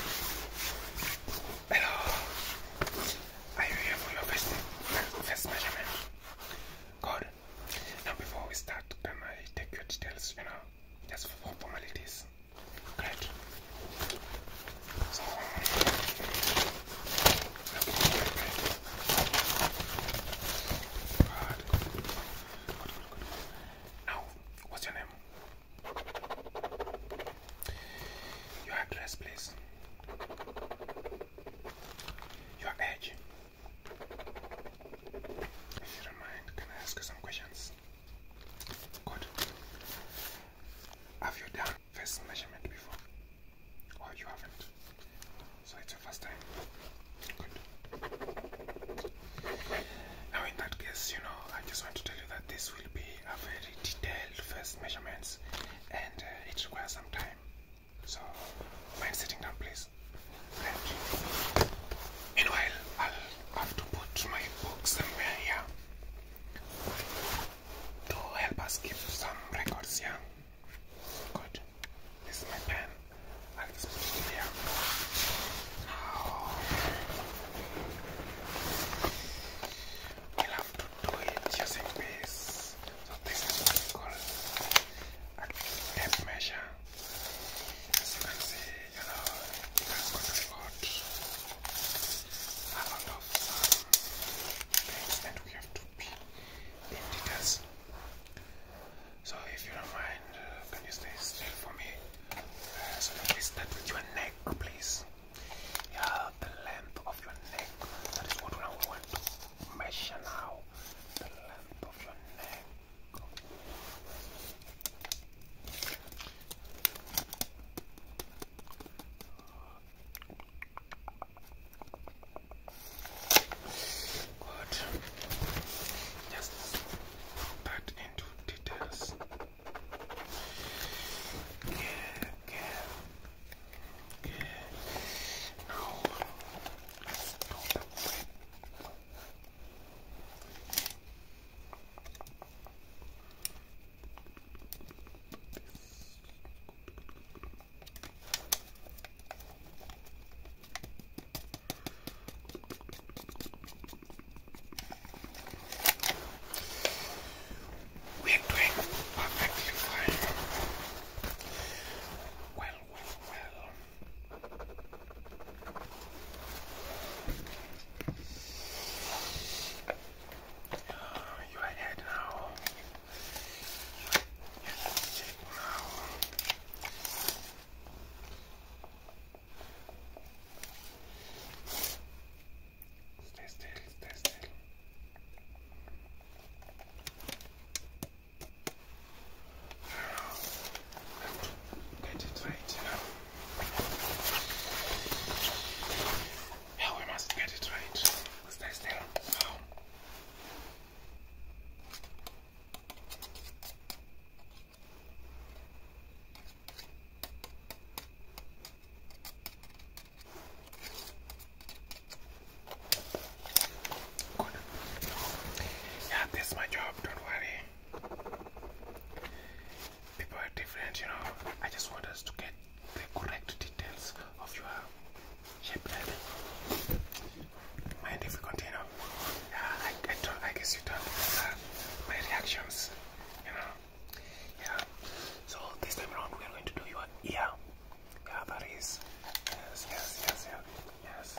Hello, are you here for your first, first measurement? Good. Now before we start, can I take your details, you know, just for formalities? Great. So, um, Now, what's your name? Your address, please. Your age. If you don't mind, can I ask you some questions? Good. Have you done face measurement before? Or you haven't? So it's your first time? Good. Now, in that case, you know, I just want to tell you that this will be a very detailed first measurements and uh, it requires some time. So, mind sitting down, please. And meanwhile, I'll have to put my book somewhere here to help us keep some records here. Good. This is my pen like this piece here. we have to do it using this. So this is what we a tape As you can see, you know, it has controlled a lot of um, things that we have to be in so if you don't mind, uh, can you stay still for me? Uh, so that we start with your neck, please. Yeah, the length of your neck. That is what I want to measure now. The length of your neck. Good. Just cut into details. Yeah, yeah, yeah. Now we're doing perfectly fine. Well, well, well. you are ahead now. Stay still, stay still. Get it right, you know. Yeah, we must get it right. Stay still. Oh. Yeah, this is my job, don't worry. People are different, you know. I just want us to get the correct details of your Mind if we continue? Yeah, I, don't. I guess you don't because uh, my reactions, you know. Yeah. So this time around, we are going to do your ear. Yeah, that is. Yes, yes, yes, yeah, yes.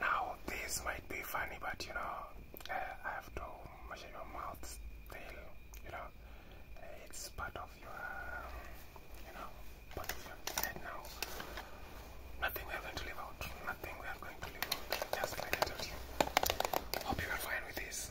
Now, this might be funny, but you know, uh, I have to measure your mouth still, you know, uh, it's part of your, um, you know, part of your head now. Nothing we are going to leave out, nothing we are going to leave out, just like I Hope you are fine with this.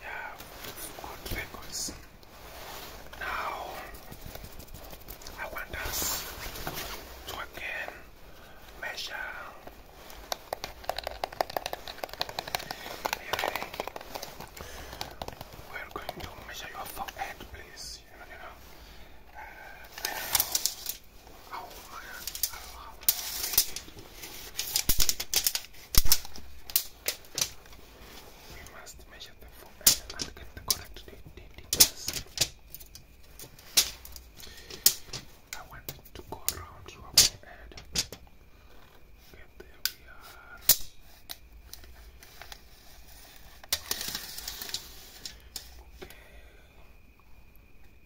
Yeah, good records. Now I want us to again measure. We're going to measure your forehead, please. You know, uh, we must measure the forehead and I want to go around your forehead. Okay, there we are.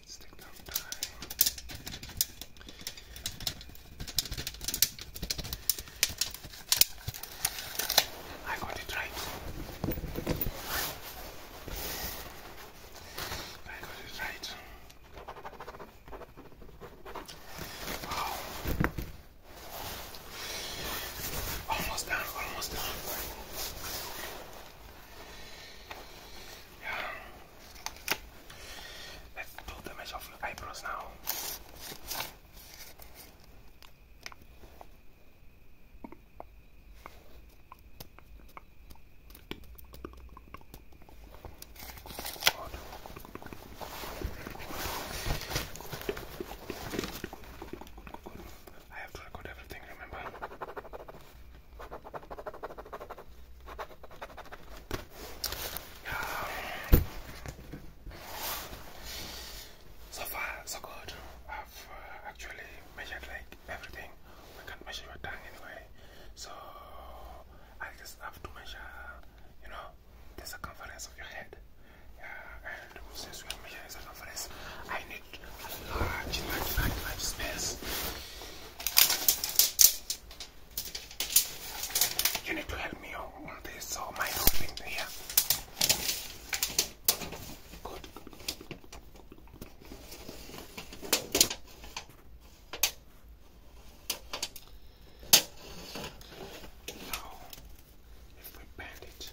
Stick down die. I got it right. I got it right. Wow. Almost done, almost done. Let's do the measure of the eyebrows now. I have to record everything, remember? So far, so good. I've uh, actually measured like everything. We can't measure your tongue anyway, so I just have to measure, you know, the circumference of your head. Yeah, and since we are measuring circumference, I need a large, large, large, space. You need to help me on this, so my opening here. Good. Now, if we bend it,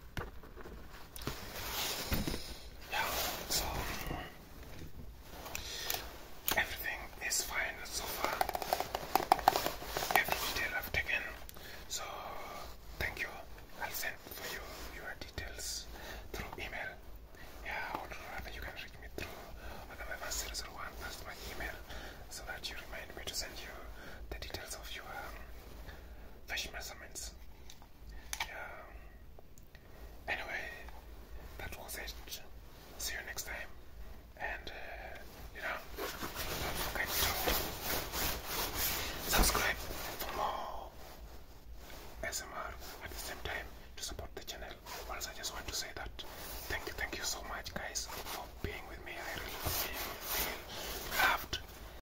Yeah, so everything is fine so far. Every detail I've taken. So thank you. I'll send you your details through email. Yeah, or rather you can reach me through another 001. That's my email. So that you remind me to send you the details of your um, fish measurements yeah. Anyway, that was it. See you next time. And uh, you know, do subscribe for more SMR at the same time to support the channel. Also, just want to say that thank you, thank you so much, guys, for being with me. I really feel loved.